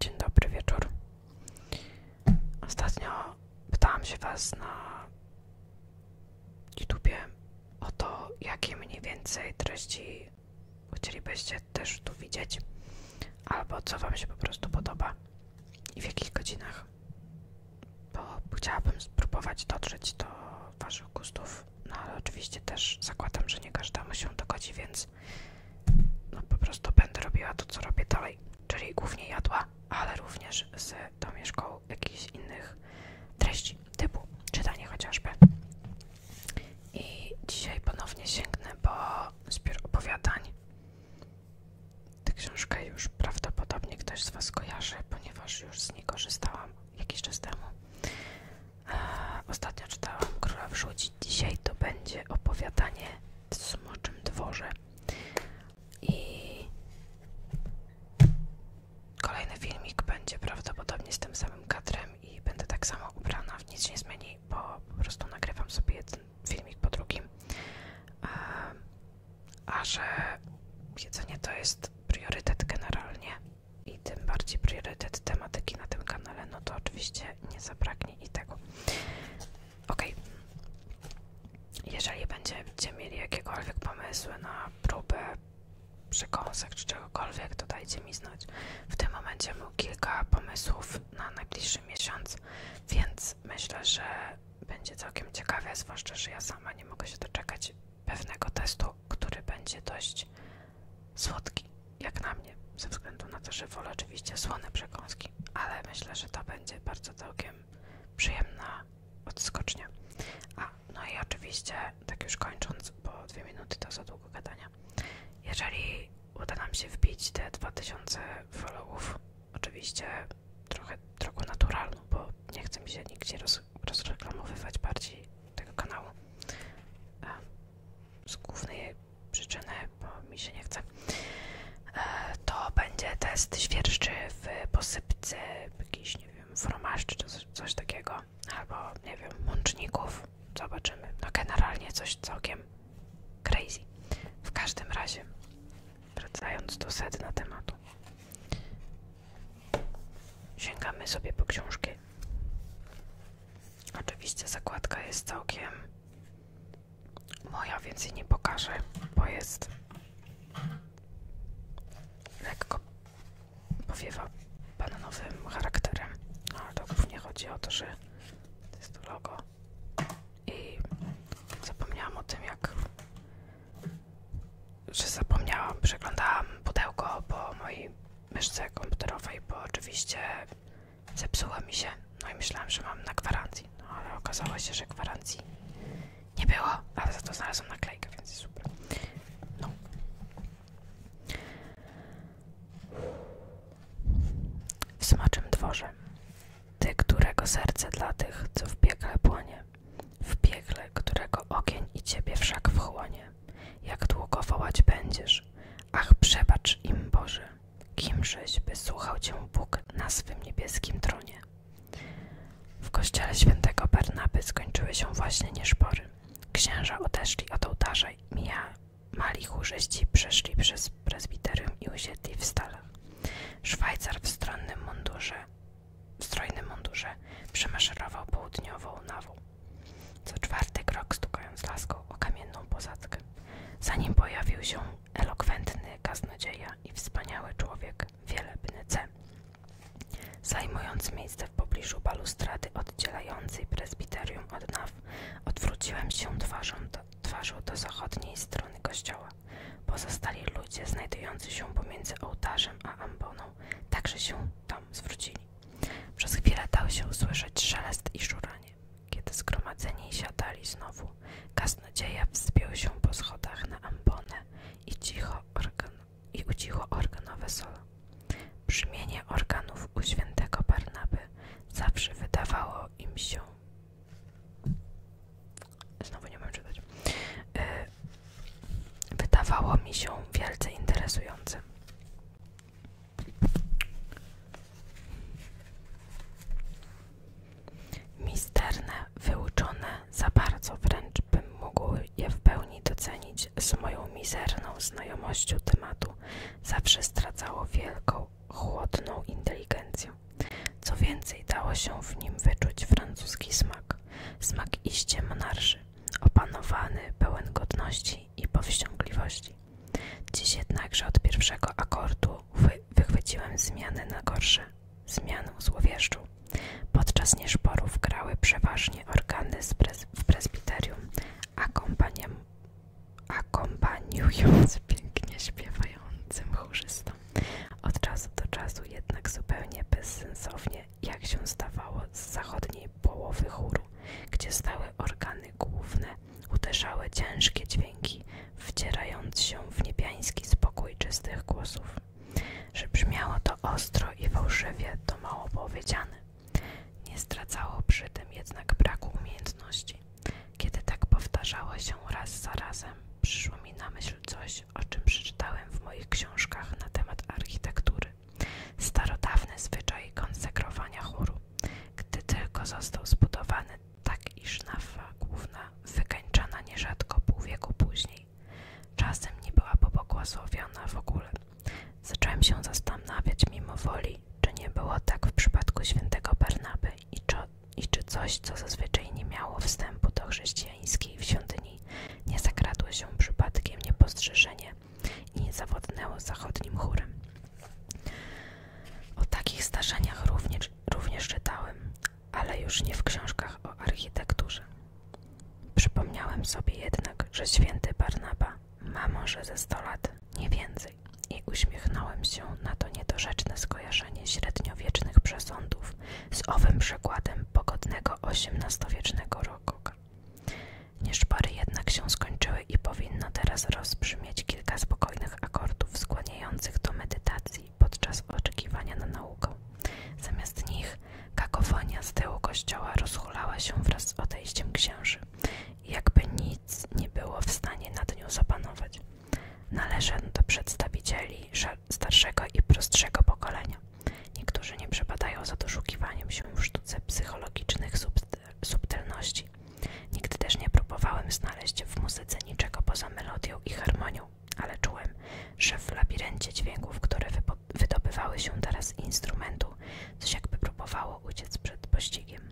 Dzień dobry wieczór. Ostatnio pytałam się Was na YouTube o to, jakie mniej więcej treści chcielibyście też tu widzieć, albo co Wam się po prostu podoba i w jakich godzinach, bo chciałabym spróbować dotrzeć do Waszych gustów no ale oczywiście też zakładam, że nie każdemu się dogodzi, więc no po prostu będę robiła to, co robię dalej. Czyli głównie jadła, ale również z domieszką jakichś innych treści, typu czytanie chociażby. I dzisiaj ponownie sięgnę po zbiór opowiadań. Tę książkę już prawdopodobnie ktoś z Was kojarzy, ponieważ już z niej korzystałam jakiś czas temu. Ostatnio czytałam Króla Wrzucić. Dzisiaj to będzie opowiadanie w Smoczym Dworze. I kolejny filmik będzie prawdopodobnie z tym samym kadrem i będę tak samo ubrana. Nic się nie zmieni, bo po prostu nagrywam sobie jeden filmik po drugim. A że jedzenie to jest priorytet generalnie i tym bardziej priorytet tematyki na tym kanale, no to oczywiście nie zabraknie i tego. Ok. Jeżeli będziecie mieli jakiekolwiek pomysły na próbę przekąsek czy czegokolwiek, to dajcie mi znać. W tym momencie mam kilka pomysłów na najbliższy miesiąc, więc myślę, że będzie całkiem ciekawie, zwłaszcza, że ja sama nie mogę się doczekać pewnego testu, który będzie dość słodki, jak na mnie, ze względu na to, że wolę oczywiście słone przekąski, ale myślę, że to będzie bardzo całkiem przyjemna odskocznia. A, no i oczywiście, tak już kończąc, bo dwie minuty to za długo gadania, jeżeli uda nam się wbić te 2000 followów, oczywiście trochę drogą naturalną, bo nie chcę mi się nigdzie roz, rozreklamowywać bardziej tego kanału z głównej przyczyny, bo mi się nie chce, e, to będzie test świerszczy w posypce jakiś, nie wiem, fromaszczy czy coś, coś takiego, albo nie wiem, mączników, zobaczymy. No generalnie coś całkiem crazy. W każdym razie, wracając do sedna tematu, sięgamy sobie po książkę. Oczywiście zakładka jest całkiem moja, więc jej nie pokażę, bo jest lekko powiewa bananowym charakterem. Ale to głównie chodzi o to, że to jest to logo. I zapomniałam o tym, jak że zapomniałam, przeglądałam pudełko, po moi myszce komputerowej, bo oczywiście zepsuła mi się. No i myślałam, że mam na gwarancji, no ale okazało się, że gwarancji nie było, ale za to znalazłam naklejkę, więc super. No. W smacznym dworze, ty, którego serce dla tych, co w piekle płonie, w piekle, którego ogień i ciebie wszak wchłonie, jak długo wołać będziesz? Ach, przebacz im, Boże, kimżeś by słuchał Cię Bóg na swym niebieskim tronie. W kościele świętego Bernaby skończyły się właśnie nieszpory. Księża odeszli od ołtarza i mali chórzyści przeszli przez prezbiterium i usiedli w stalach. Szwajcar w w strojnym mundurze przemaszerował południową nawą. Co czwarty krok stukając laską o kamienną posadzkę. Zanim pojawił się elokwentny kaznodzieja i wspaniały człowiek, wielebny C, zajmując miejsce w pobliżu balustrady oddzielającej prezbiterium od naw, odwróciłem się twarzą do, twarzą do zachodniej strony kościoła. Pozostali ludzie znajdujący się pomiędzy ołtarzem a amboną także się tam zwrócili. Przez chwilę dał się usłyszeć szelest i szuranie. Kiedy zgromadzeni siadali znowu, gaz nadzieja wzbił się po schodach na ambonę i, cicho organ, i ucichło organowe solo. Brzmienie organów u świętego Barnaby zawsze wydawało im się Znowu nie mam czytać. Y, wydawało mi się wielce interesujące. Misterne, wyuczone, za bardzo wręcz bym mógł je w pełni docenić z moją mizerną znajomością tematu, zawsze stracało wielką, chłodną inteligencję. Co więcej, dało się w nim wyczuć francuski smak, smak iście monarszy, opanowany, pełen godności i powściągliwości. Dziś jednakże od pierwszego akordu wychwyciłem zmiany na gorsze, zmianę złowieszczu. Podczas nieszporów grały przeważnie organy w prezbiterium, akompaniując pięknie śpiewającym chórzystom. Od czasu do czasu jednak zupełnie bezsensownie, jak się stawało z zachodniej połowy chóru, gdzie stały organy główne, uderzały ciężkie dźwięki, wdzierając się w niebiański spokój czystych głosów. Że brzmiało to ostro i fałszywie, to mało powiedziane. Nie stracało przy tym jednak braku umiejętności. Kiedy tak powtarzało się raz za razem, przyszło mi na myśl coś, o czym przeczytałem w moich książkach na temat architektury. Starodawny zwyczaj konsekwowania chóru, gdy tylko został zbudowany, tak iż nawa główna wykańczana nierzadko pół wieku później. Czasem nie była pobłogosławiona w ogóle. Zacząłem się zastanawiać mimo woli, czy nie było tak w przypadku świętego Barnaby i czy, coś, co zazwyczaj nie miało wstępu do chrześcijańskiej w nie zakradło się przypadkiem niepostrzeżenie i zawodnęło zachodnim chórem. O takich starzeniach również, również czytałem, ale już nie w książkach o architekturze. Przypomniałem sobie jednak, że święty Barnaba ma może ze 100 lat, nie więcej, i uśmiechnąłem się na to niedorzeczne skojarzenie średniowiecznych przesądów z owym przykładem pogodnego XVIII-wiecznego rokoka. Nieszpory jednak się skończyły i powinno teraz rozbrzmieć kilka spokojnych akordów skłaniających do medytacji podczas oczekiwania na naukę. Zamiast nich kakofonia z tyłu kościoła rozchulała się wraz z odejściem księży jakby nic nie było w stanie nad nią zapanować. Należę do przedstawicieli starszego i prostszego pokolenia. Niektórzy nie przepadają za doszukiwaniem się w sztuce psychologicznych subst subtelności. Nigdy też nie próbowałem znaleźć w muzyce niczego poza melodią i harmonią, ale czułem, że w labiryncie dźwięków, które wydobywały się teraz z instrumentu, coś jakby próbowało uciec przed pościgiem.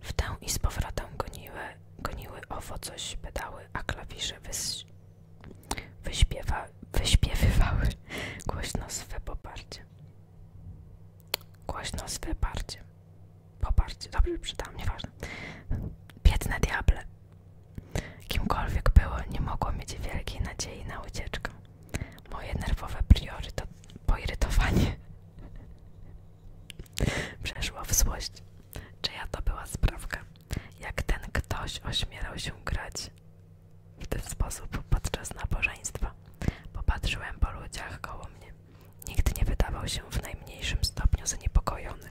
W tę i z powrotem goniły, goniły owo coś pedały, a klawisze wyś, wyśpiewa, wyśpiewywały głośno swe poparcie. Głośno z wyparciem. Poparcie. Dobrze przeczytałam, nieważne. Biedne diable. Kimkolwiek było, nie mogło mieć wielkiej nadziei na ucieczkę. Moje nerwowe priorytet, poirytowanie przeszło w złość. Czyja to była sprawka? Jak ten ktoś ośmielał się grać w ten sposób podczas nabożeństwa popatrzyłem po ludziach koło mnie. Nikt nie wydawał się w najmniejszym stopniu zaniepokojony.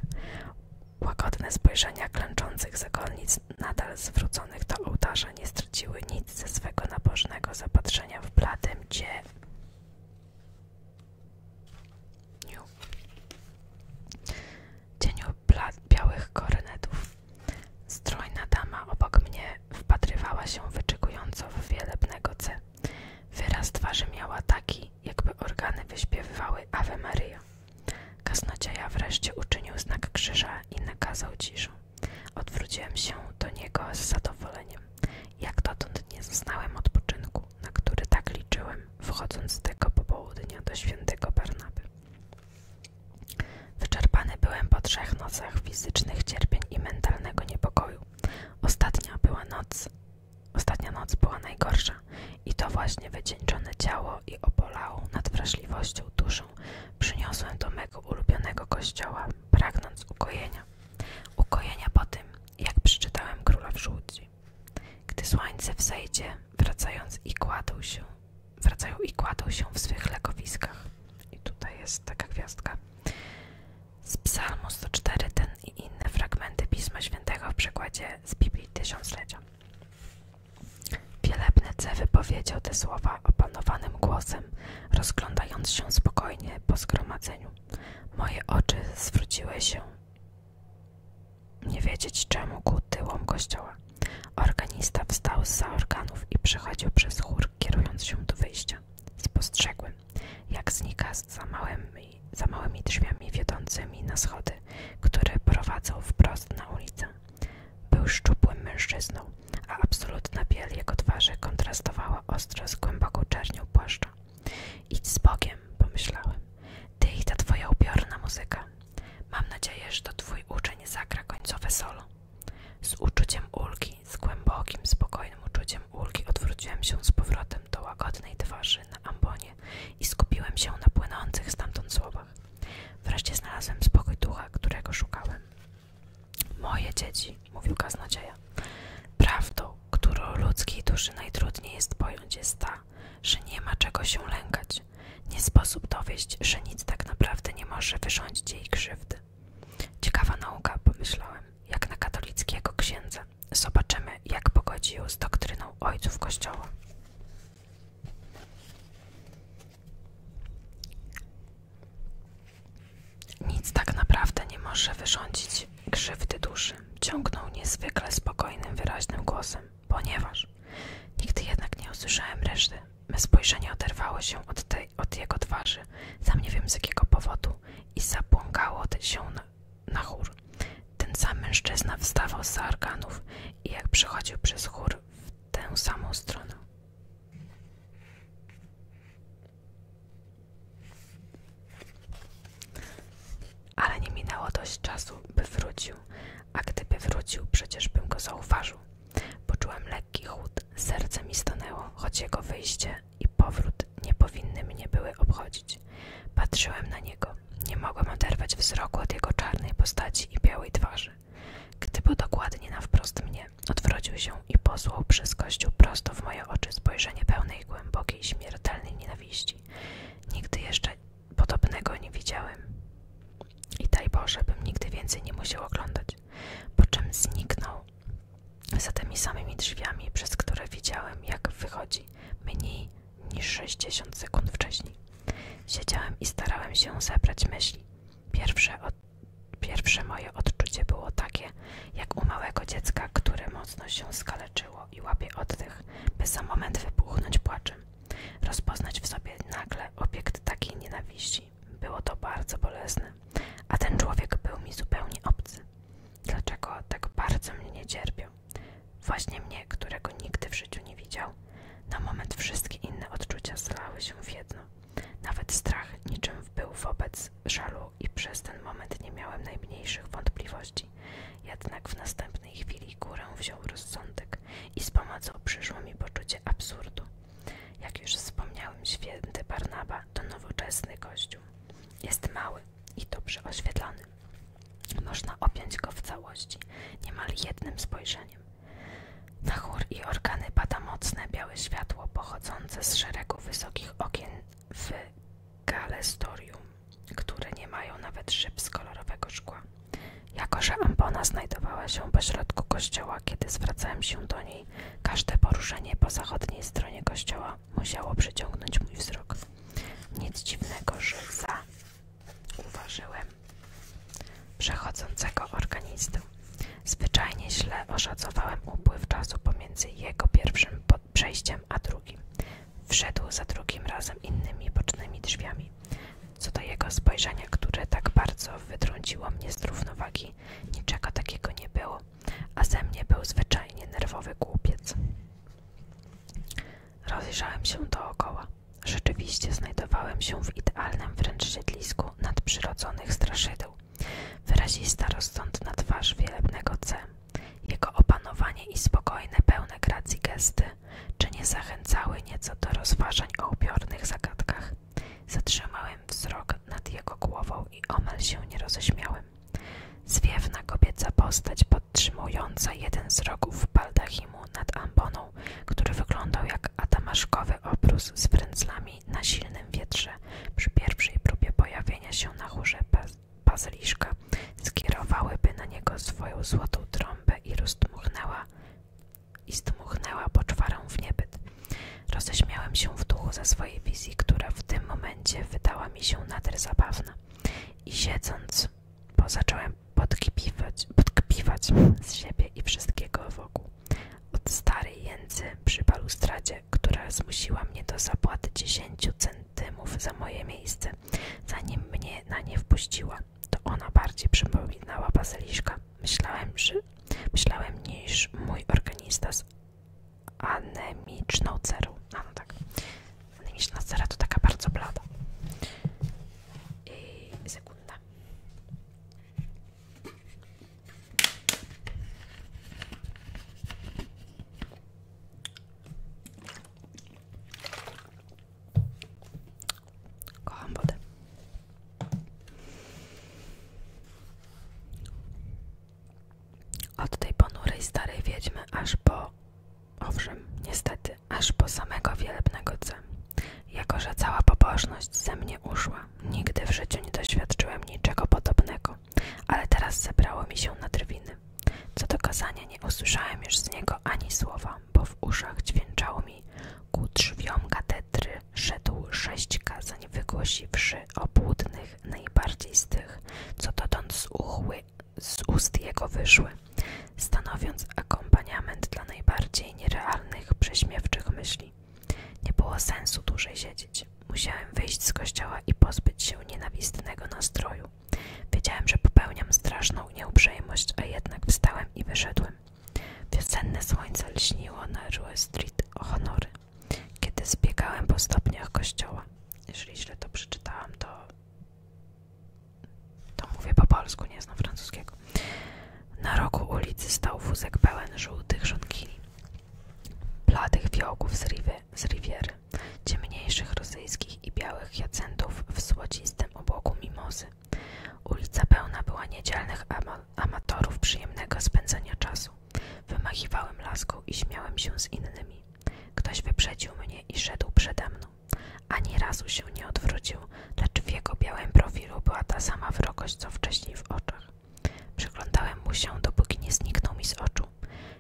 Łagodne spojrzenia klęczących zakonnic, nadal zwróconych do ołtarza, nie straciły nic ze swego nabożnego zapatrzenia w bladym dzie. Cieniu białych koronetów. Strojna dama obok mnie wpatrywała się wyczekująco w wielebnego C. Wyraz twarzy miała taki, jakby organy wyśpiewywały Ave Maria. Kasnocieja wreszcie uczynił znak krzyża i nakazał ciszę. Odwróciłem się do niego z zadowoleniem. Jak dotąd nie zaznałem odpoczynku, na który tak liczyłem, wchodząc z tego popołudnia do świętego Barnaby. Wyczerpany byłem po trzech nocach fizycznych cierpień i mentalnego niepokoju. Ostatnia była noc. Ostatnia noc była najgorsza i to właśnie wycieńczone ciało i obolałą nad wrażliwością duszą przyniosłem do mego ulubionego kościoła, pragnąc ukojenia. Ukojenia po tym, jak przeczytałem Króla w Żółci. Gdy słońce wzejdzie, wracając i kładł się, wracają i kładą się w swych legowiskach. I tutaj jest taka gwiazdka. Z Psalmu 104 ten i inne fragmenty Pisma Świętego w przekładzie z Biblii Tysiąclecia. Wielebny C wypowiedział te słowa opanowanym głosem, rozglądając się spokojnie po zgromadzeniu. Moje oczy zwróciły się nie wiedzieć czemu ku tyłom kościoła. Organista wstał z zaorganów i przechodził przez chór, kierując się do wyjścia. Spostrzegłem, jak znika za małymi, za małymi drzwiami wiodącymi na schody, które prowadzą wprost na ulicę. Był szczupłym mężczyzną, a absolutna biel jego twarzy kontrastowała ostro z głęboką czernią płaszcza. Idź z Bogiem, pomyślałem. Ty i ta twoja ubiorna muzyka. Mam nadzieję, że to twój uczeń zagra końcowe solo. Z uczuciem ulgi, z głębokim, spokojnym uczuciem ulgi odwróciłem się z powrotem do łagodnej twarzy na ambonie i skupiłem się na płynących stamtąd słowach. Wreszcie znalazłem spokój ducha, którego szukałem. Moje dzieci, mówił kaznodzieja, prawdą, którą ludzkiej duszy najtrudniej jest pojąć, jest ta, że nie ma czego się lękać, nie sposób dowieść, że nic tak naprawdę nie może wyrządzić jej krzywdy. Ciekawa nauka, pomyślałem, jak na katolickiego księdza. Zobaczymy, jak pogodzi ją z doktryną ojców kościoła. Nic tak naprawdę nie może wyrządzić krzywdy duszy, ciągnął niezwykle spokojnym, wyraźnym głosem, ponieważ nigdy jednak nie usłyszałem reszty Me spojrzenie oderwało się od, tej, od jego twarzy, sam nie wiem z jakiego powodu, i zabłąkało się na, chór. Ten sam mężczyzna wstawał z arkanów i jak przechodził przez chór w tę samą stronę. Ale nie minęło dość czasu, by wrócił, a gdyby wrócił, przecież bym go zauważył. Poczułem lekki chłód, serce mi stanęło, choć jego wyjście i powrót nie powinny mnie były obchodzić. Patrzyłem na niego. Nie mogłem oderwać wzroku od jego czarnej postaci i białej twarzy. Gdy był dokładnie na wprost mnie, odwrócił się i posłał przez kościół prosto w moje oczy spojrzenie pełnej głębokiej, śmiertelnej nienawiści. Nigdy jeszcze podobnego nie widziałem. I daj Boże, bym nigdy więcej nie musiał oglądać po czym zniknął za tymi samymi drzwiami, przez które widziałem, jak wychodzi mniej niż 60 sekund wcześniej. Siedziałem i starałem się zebrać myśli. Pierwsze, moje odczucie było takie, jak u małego dziecka, które mocno się skaleczyło i łapie tych, by za moment wybuchnąć płaczem. Rozpoznać w sobie nagle obiekt takiej nienawiści było to bardzo bolesne, a ten człowiek był mi zupełnie obcy. Dlaczego tak bardzo mnie cierpiał? Właśnie mnie, którego nigdy w życiu nie widział. Na moment wszystkie inne odczucia zalały się w jedno. Nawet strach niczym był wobec żalu i przez ten moment nie miałem najmniejszych wątpliwości. Jednak w następnej chwili górę wziął rozsądek i z pomocą przyszło mi poczucie absurdu. Jak już wspomniałem, święty Barnaba to nowoczesny kościół. Jest mały i dobrze oświetlony. Można objąć go w całości, niemal jednym spojrzeniem. Na chór i organy pada mocne białe światło pochodzące z szeregu wysokich okien w galestorium, które nie mają nawet szyb z kolorowego szkła. Jako, że ambona znajdowała się pośrodku kościoła, kiedy zwracałem się do niej, każde poruszenie po zachodniej stronie kościoła musiało przyciągnąć mój wzrok. Nic dziwnego, że za zauważyłem przechodzącego organizmu. Zwyczajnie źle oszacowałem upływ czasu pomiędzy jego pierwszym przejściem a drugim. Wszedł za drugim razem innymi bocznymi drzwiami. Co do jego spojrzenia, które tak bardzo wytrąciło mnie z równowagi, niczego takiego nie było, a ze mnie był zwyczajnie nerwowy głupiec. Rozejrzałem się dookoła. Rzeczywiście znajdowałem się w idealnym wręcz siedlisku nadprzyrodzonych straszydeł. Wyrazista, rozsądna twarz wielebnego C, jego opanowanie i spokojne, pełne gracji gesty, czy nie zachęcały nieco do rozważań o ubiornych zagadkach, Zatrzymałem wzrok nad jego głową i omal się nie roześmiałem. Zwiewna kobieca postać podtrzymująca jeden z rogów baldachimu nad amboną, który wyglądał jak adamaszkowy obrus z frędzlami na silnym wietrze przy pierwszej próbie pojawienia się na chórze pazyliszka skierowałyby na niego swoją złotą trąbę i rozdmuchnęła i zdmuchnęła poczwarą w niebyt. Roześmiałem się w duchu za swojej wizji, która w tym momencie wydała mi się nader zabawna. I siedząc, bo zacząłem podkipiwać, z siebie i wszystkiego wokół. Od starej jęcy przy balustradzie, która zmusiła mnie do zapłaty 10 centymów za moje miejsce, zanim mnie na nie wpuściła to ona bardziej przypominała bazyliszka. Myślałem, że, myślałem niż mój organista z anemiczną cerą. ano tak, anemiczna cera to taka bardzo blada. I sekunda. Kocham wodę. Od tej ponurej starej wiedźmy aż po, owszem, niestety, aż po samego wielebnego C. Jako, że cała pobożność ze mnie uszła, nigdy w życiu nie doświadczyłem niczego podobnego, ale teraz zebrało mi się na drwiny. Co do kazania nie usłyszałem już z niego ani słowa bo w uszach dźwięczało mi ku drzwiom katedry szedł sześćka, zanim wygłosiwszy obłudnych, najbardziej z tych, co dotąd z, uchły, z ust jego wyszły, stanowiąc akompaniament dla najbardziej nierealnych, prześmiewczych myśli. Nie było sensu dłużej siedzieć. Musiałem wyjść z kościoła i pozbyć się nienawistnego nastroju. Wiedziałem, że popełniam straszną nieuprzejmość, a jednak wstałem i wyszedłem. Wiosenne słońce lśniło na Rue Street honory, kiedy zbiegałem po stopniach kościoła. Jeżeli źle to przeczytałam, to, to mówię po polsku, nie znam francuskiego. Na rogu ulicy stał wózek pełen żółtych żonkini, bladych wiołków z, riwy, z Riviery, ciemniejszych rosyjskich i białych jacentów w złocistym obłoku mimozy, Ulica pełna była niedzielnych amatorów przyjemnego spędzania czasu. Wymachiwałem laską i śmiałem się z innymi. Ktoś wyprzedził mnie i szedł przede mną. Ani razu się nie odwrócił, lecz w jego białym profilu była ta sama wrogość, co wcześniej w oczach. Przyglądałem mu się, dopóki nie zniknął mi z oczu.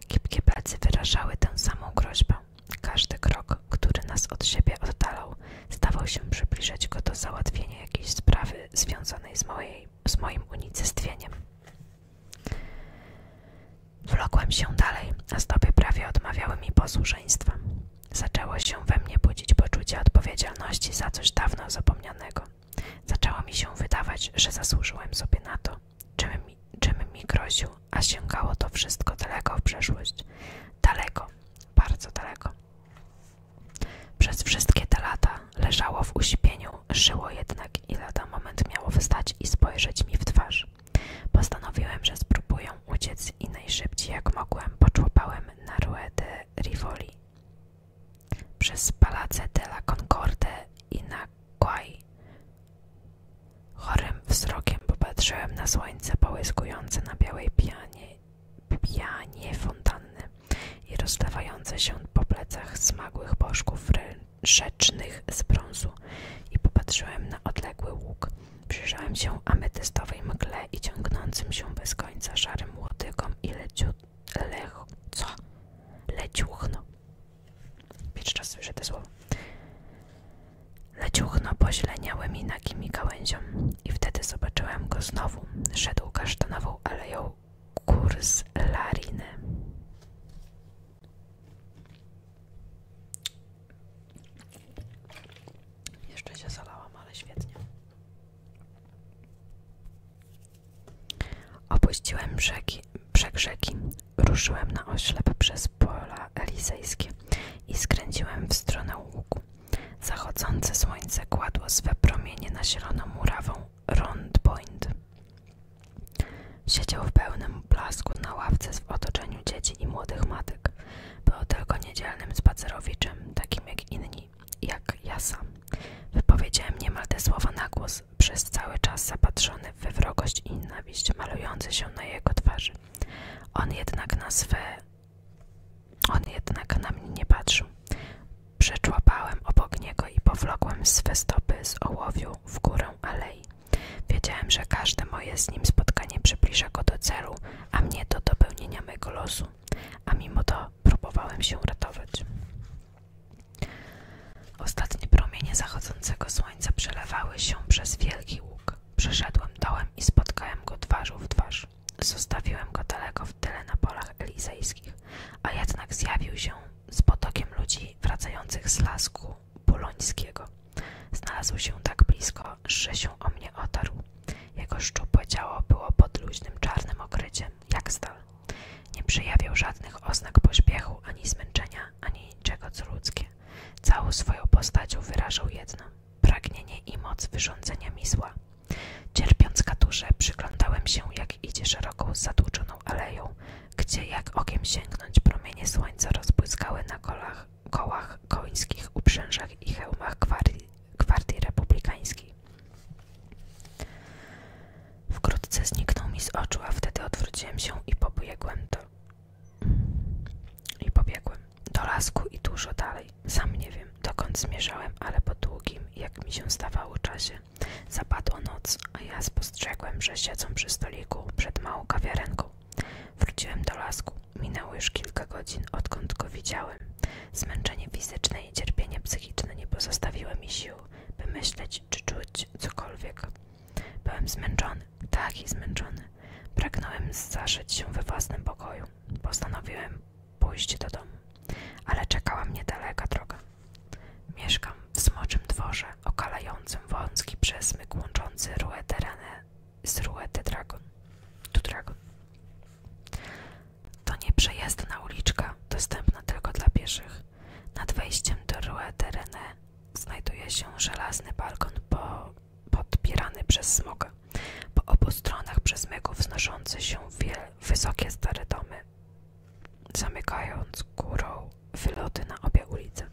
Kipkie plecy wyrażały tę samą groźbę. Każdy krok, który nas od siebie oddalał, Stawał się przybliżać go do załatwienia jakiejś sprawy związanej z, mojej, z moim unicestwieniem. Wlokłem się dalej, a stopy prawie odmawiały mi posłuszeństwa. Zaczęło się we mnie budzić poczucie odpowiedzialności za coś dawno zapomnianego. Zaczęło mi się wydawać, że zasłużyłem sobie na to, czym mi, czym mi groził, a sięgało to wszystko daleko w przeszłość. Daleko, bardzo daleko. Przez wszystkie te lata leżało w uśpieniu, żyło jednak i lada moment miało wstać i spojrzeć mi w twarz. Postanowiłem, że spróbuję uciec i najszybciej jak mogłem poczłopałem na Rue de Rivoli. Przez Palace de la Concorde i na Quai. Chorym wzrokiem popatrzyłem na słońce połyskujące na białej pianie pijanie fontanny i rozlewające się po plecach smagłych bożków rzecznych z brązu i popatrzyłem na odległy łuk. Przyjrzałem się ametystowej mgle i ciągnącym się bez końca szarym łotykom i leciu... co? Leciuchno. Pierwszy raz słyszę te słowo. Leciuchno poźleniały mi nagimi gałęziom. I wtedy zobaczyłem go znowu. Szedł kasztanową aleją kurs Lariny. Jeszcze się zalałam, ale świetnie. Opuściłem brzegi, brzeg rzeki, ruszyłem na oślep przez pola elizejskie i skręciłem w stronę łuku. Zachodzące słońce kładło swe promienie na zieloną murawą Round Point. Siedział w pełnym blasku na ławce w otoczeniu dzieci i młodych matek. Był tylko niedzielnym spacerowiczem, takim jak inni, jak ja sam. Wypowiedziałem niemal te słowa na głos, przez cały czas zapatrzony we wrogość i nienawiść malujące się na jego twarzy. On jednak na swe on jednak na mnie nie patrzył. Przeczłapałem obok niego i powlokłem swe stopy z ołowiu w górę alei. Wiedziałem, że każde moje z nim spotkanie przybliża go do celu, a mnie do dopełnienia mego losu, a mimo to próbowałem się uratować. Ostatnie promienie zachodzącego słońca przelewały się przez wielki łuk. Przeszedłem dołem i spotkałem go twarz w twarz. Zostawiłem go daleko w tyle na polach elizejskich, a jednak zjawił się z potokiem ludzi wracających z lasku bulońskiego. Znalazł się tak blisko, że się o mnie otarł. Jego szczupłe ciało było pod luźnym czarnym okryciem, jak stal. Nie przejawiał żadnych oznak pośpiechu, ani zmęczenia, ani niczego co ludzkie. Całą swoją postacią wyrażał jedno – pragnienie i moc wyrządzenia misła. Cierpiąc katurze, przyglądałem się, jak idzie szeroką, zatłuczoną aleją, gdzie, jak okiem sięgnąć, promienie słońca rozbłyskały na kołach końskich, uprzężach i hełmach gwardii, gwardii republikańskiej. Wkrótce zniknął mi z oczu, a wtedy odwróciłem się i pobiegłem do... I pobiegłem do lasku i dużo dalej. Sam nie wiem, dokąd zmierzałem, ale po długim, jak mi się stawało czasie, zapadła noc, a ja spostrzegłem, że siedzą przy stoliku przed małą kawiarenką. Wróciłem do lasku. Minęło już kilka godzin, odkąd go widziałem. Zmęczenie fizyczne i cierpienie psychiczne nie pozostawiły mi sił, by myśleć czy czuć cokolwiek. Byłem zmęczony, taki zmęczony. Pragnąłem zaszyć się we własnym pokoju. Postanowiłem pójść do domu, ale czekała mnie daleka droga. Mieszkam w smoczym dworze, okalającym wąski przesmyk łączący Rue Terane z Rue Dragon. Tu Dragon. To nieprzejezdna uliczka, dostępna tylko dla pieszych. Nad wejściem do Rue Terene znajduje się żelazny balkon po podpierany przez smoga. Po obu stronach przez myków wznoszące się wiele wysokie stare domy, zamykając górą wyloty na obie ulice.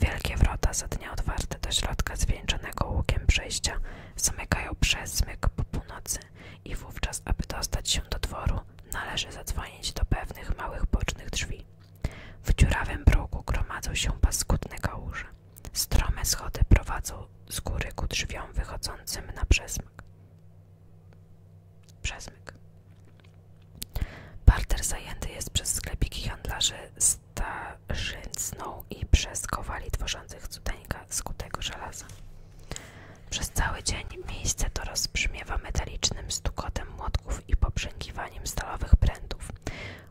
Wielkie wrota za dnia otwarte do środka zwieńczonego łukiem przejścia zamykają przesmyk po północy i wówczas, aby dostać się do dworu, należy zadzwonić do pewnych małych bocznych drzwi. W dziurawym progu gromadzą się paskudne kałuże. Strome schody prowadzą z góry ku drzwiom wychodzącym na przesmyk. Przesmyk. Parter zajęty jest przez sklepiki handlarzy starzycną i przez kowali tworzących cudeńka skutego żelaza. Przez cały dzień miejsce to rozbrzmiewa metalicznym stukotem młotków i poprzękiwaniem stalowych prętów,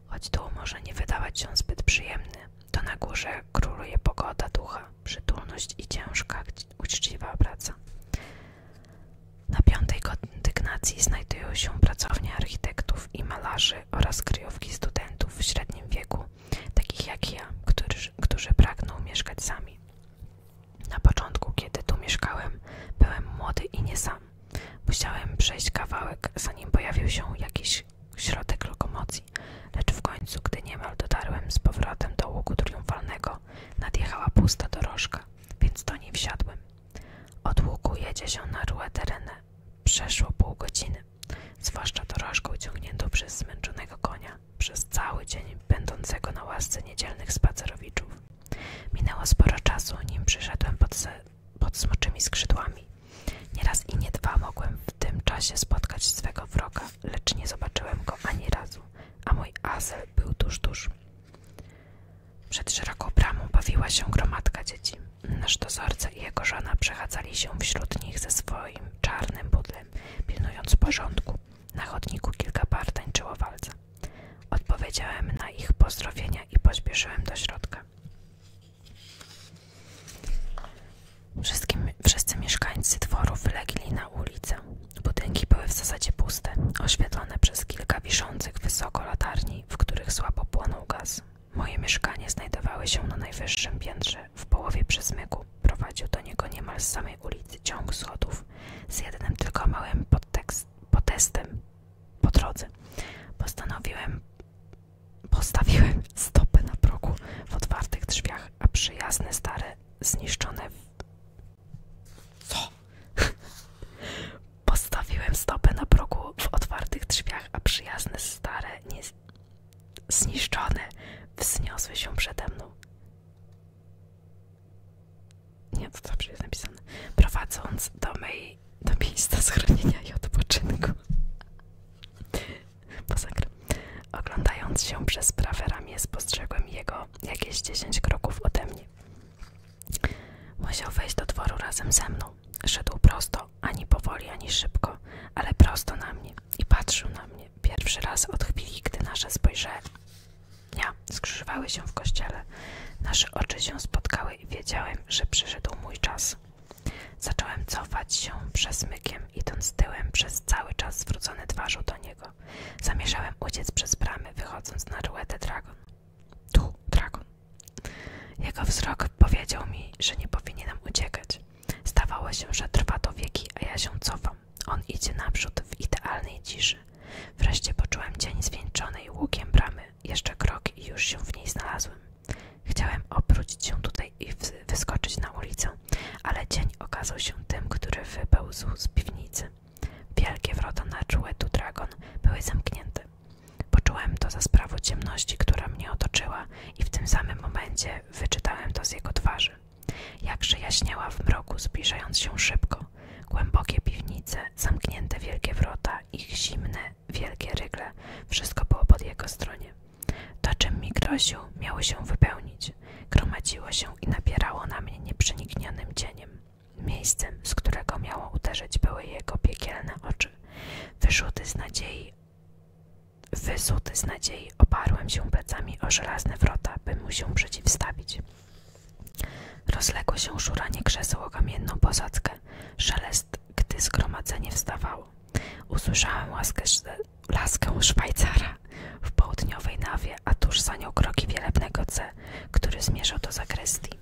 Choć dół może nie wydawać się zbyt przyjemny, to na górze króluje pogoda ducha, przytulność i ciężka, uczciwa praca. Na piątej kondygnacji znajdują się pracownie architektów i malarzy oraz kryjówki studentów w średnim wieku, takich jak ja, którzy, którzy pragną mieszkać sami. Na początku, kiedy tu mieszkałem, byłem młody i nie sam. Musiałem przejść kawałek, zanim pojawił się jakiś środek lokomocji, lecz w końcu, gdy niemal dotarłem z powrotem do łuku triumfalnego, nadjechała pusta dorożka, więc do niej wsiadłem. Od łuku jedzie się na Rue Terene. Przeszło pół godziny, zwłaszcza dorożką ciągniętą przez zmęczonego konia, przez cały dzień będącego na łasce niedzielnych spacerowiczów. Minęło sporo czasu, nim przyszedłem pod smoczymi skrzydłami nieraz i nie dwa mogłem w tym czasie spotkać swego wroga, lecz nie zobaczyłem go ani razu, a mój Azel był tuż, tuż. Przed szeroką bramą bawiła się gromadka dzieci. Nasz dozorca i jego żona przechadzali się wśród nich ze swoim czarnym budlem, pilnując porządku. Na chodniku kilka par walca. Odpowiedziałem na ich pozdrowienia i pośpieszyłem do środka. Wszystkim, wszyscy mieszkańcy dworu wylegli na ulicę. Budynki były w zasadzie puste, oświetlone przez kilka wiszących wysoko latarni, w których słabo płonął gaz. Moje mieszkanie znajdowały się na najwyższym piętrze, w połowie przezmyku. Prowadził do niego niemal z samej ulicy ciąg schodów, z jednym tylko małym podtekst, po drodze. Postanowiłem Postawiłem stopę na progu w otwartych drzwiach, a przyjazne stare zniszczone Co? Postawiłem stopę na progu w otwartych drzwiach, a przyjazne stare nie... zniszczone wzniosły się przede mną. Nie, to dobrze jest napisane. Prowadząc do mej do miejsca schronienia i odpoczynku. Oglądając się przez prawe ramię, spostrzegłem jego jakieś 10 kroków ode mnie. Musiał wejść do dworu razem ze mną. Szedł prosto, ani powoli, ani szybko, ale prosto na mnie i patrzył na mnie. Pierwszy raz od chwili, gdy nasze spojrzenia skrzyżowały się w kościele, nasze oczy się spotkały i wiedziałem, że przyszedł mój czas. Zacząłem cofać się przez przesmykiem, idąc tyłem przez cały czas zwrócony twarzą do niego. Zamierzałem uciec przez bramy, wychodząc na ruetę Dragon. Tu, Dragon. Jego wzrok powiedział mi, że nie powinienem uciekać. Zdawało się, że trwa to wieki, a ja się cofam. On idzie naprzód w idealnej ciszy. Wreszcie poczułem cień zwieńczonej łukiem bramy. Jeszcze krok i już się w niej znalazłem. Chciałem obrócić się tutaj i wyskoczyć na ulicę, ale dzień okazał się tym, który wypełzł z piwnicy. Wielkie wrota na Czuetu Dragon były zamknięte. Poczułem to za sprawą ciemności, która mnie otoczyła i w tym samym momencie wyczytałem to z jego twarzy. Jakże jaśniała w mroku, zbliżając się szybko. Głębokie piwnice, zamknięte wielkie wrota, ich zimne, wielkie rygle, wszystko było po jego stronie. To, czym mi groził, miało się wypełnić. Gromadziło się i napierało na mnie nieprzeniknionym cieniem. Miejscem, z którego miało uderzyć, były jego piekielne oczy. wysuty z nadziei, wyzuty z nadziei, oparłem się plecami o żelazne wrota, by mu się przeciwstawić. Rozległo się szuranie krzeseł o kamienną posadzkę, szelest gdy zgromadzenie wstawało. Usłyszałem łaskę, laskę Szwajcara w południowej nawie, a tuż za nią kroki wielebnego C, który zmierzał do zakrystii.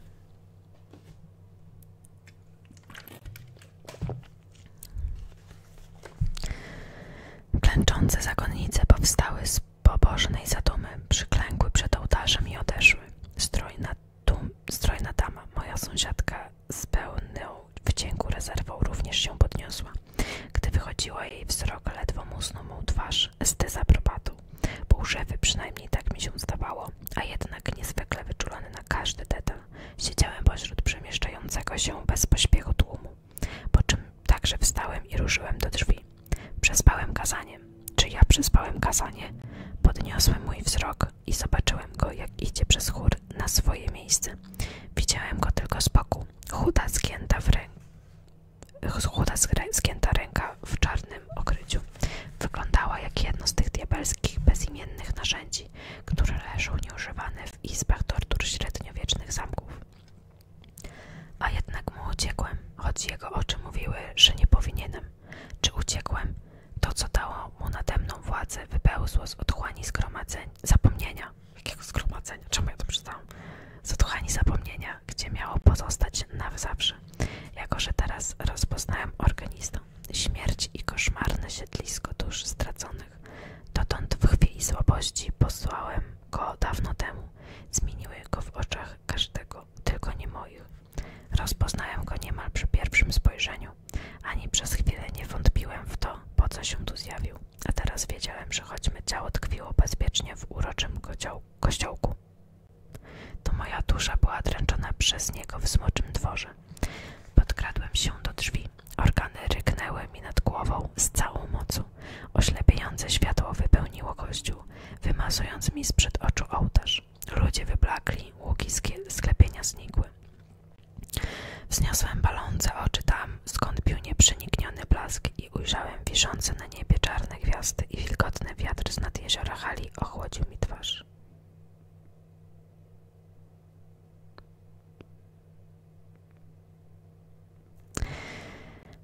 Klęczące zakonnice powstały z pobożnej zadumy, przyklękły przed ołtarzem i odeszły. Stroj nad tu strojna dama, moja sąsiadka, z pełną wdzięku rezerwą również się podniosła. Gdy wychodziła jej wzrok, ledwo musnął mu twarz z dezaprobatu. Półżewy przynajmniej tak mi się zdawało, a jednak niezwykle wyczulony na każdy detal. Siedziałem pośród przemieszczającego się bez tłumu, po czym także wstałem i ruszyłem do drzwi. Przespałem kazanie. Czy ja przespałem kazanie? Podniosłem mój wzrok i zobaczyłem go, jak idzie przez chór na swoje miejsce. Widziałem go tylko z boku. Chuda zgięta, ręka w czarnym okryciu. Wyglądała jak jedno z tych diabelskich, bezimiennych narzędzi, które leżą nieużywane w izbach tortur średniowiecznych zamków. A jednak mu uciekłem, choć jego oczy mówiły, że nie powinienem. Czy uciekłem? To, co dało mu nade mną władzę, wypełzło z otchłani zgromadzeń, zapomnienia. Jakiego zgromadzenia? Czemu ja to przeczytałam? Z otchłani zapomnienia, gdzie miało pozostać na zawsze. Jako, że teraz rozpoznałem organizm? Śmierć i koszmarne siedlisko dusz straconych. Dotąd w chwili słabości posłałem go dawno temu. Zmieniły go w oczach każdego, tylko nie moich. Rozpoznałem go niemal przy pierwszym spojrzeniu. Ani przez chwilę nie wątpiłem w to, po co się tu zjawił, a teraz wiedziałem, że choć me ciało tkwiło bezpiecznie w uroczym kościołku, to moja dusza była dręczona przez niego w smoczym dworze. Podkradłem się do drzwi. Organy ryknęły mi nad głową z całą mocą. Oślepiające światło wypełniło kościół, wymazując mi z przed oczu ołtarz. Ludzie wyblakli, łuki sklepienia znikły. Wzniosłem palące oczy tam, skąd pił nieprzenikniony blask i ujrzałem wiszące na niebie czarne gwiazdy i wilgotny wiatr z nad jeziora hali ochłodził mi twarz.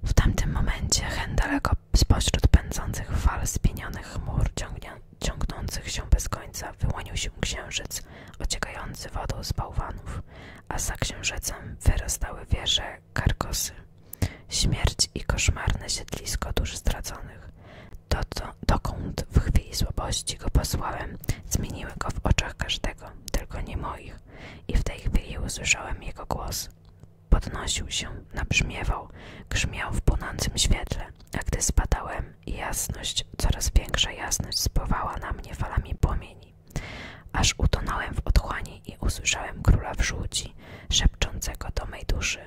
W tamtym momencie hen daleko pośród pędzących fal spienionych chmur ciągnie, ciągnących się bez końca wyłonił się księżyc ociekający wodą z bałwanów, a za księżycem wyrastały wieże karkosy. Śmierć i koszmarne siedlisko dusz straconych. dokąd w chwili słabości go posłałem, zmieniły go w oczach każdego, tylko nie moich, i w tej chwili usłyszałem jego głos. Podnosił się, nabrzmiewał, grzmiał w płonącym świetle a gdy spadałem, jasność, coraz większa jasność spływała na mnie falami płomieni. Aż utonąłem w otchłani i usłyszałem króla w żółci, szepczącego do mej duszy.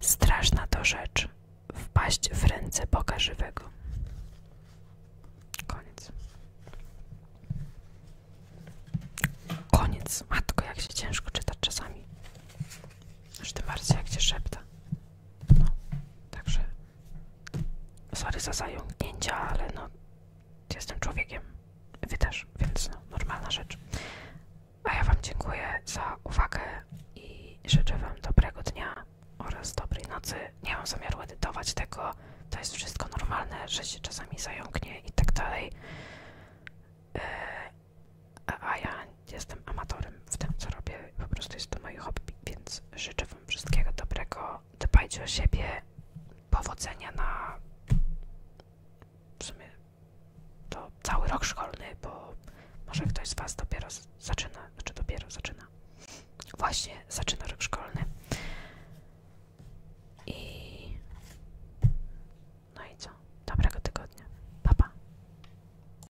Straszna to rzecz, wpaść w ręce Boga żywego. Koniec. Koniec. Matko, jak się ciężko czyta czasami. Aż tym bardziej, jak się szepta. No, także sorry za zająknięcia, ale no jestem człowiekiem, wy też, więc no, normalna rzecz. A ja wam dziękuję za uwagę i życzę wam dobrego dnia oraz dobrej nocy. Nie mam zamiaru edytować tego, to jest wszystko normalne, że się czasami zająknie i tak dalej. E, a ja jestem amatorem w tym, co robię, po prostu jest to moje hobby, więc życzę Wam wszystkiego dobrego, dbajcie o siebie, powodzenia na w sumie to cały rok szkolny, bo może ktoś z Was dopiero zaczyna, znaczy dopiero zaczyna, właśnie zaczyna rok szkolny i no i co? Dobrego tygodnia. Pa,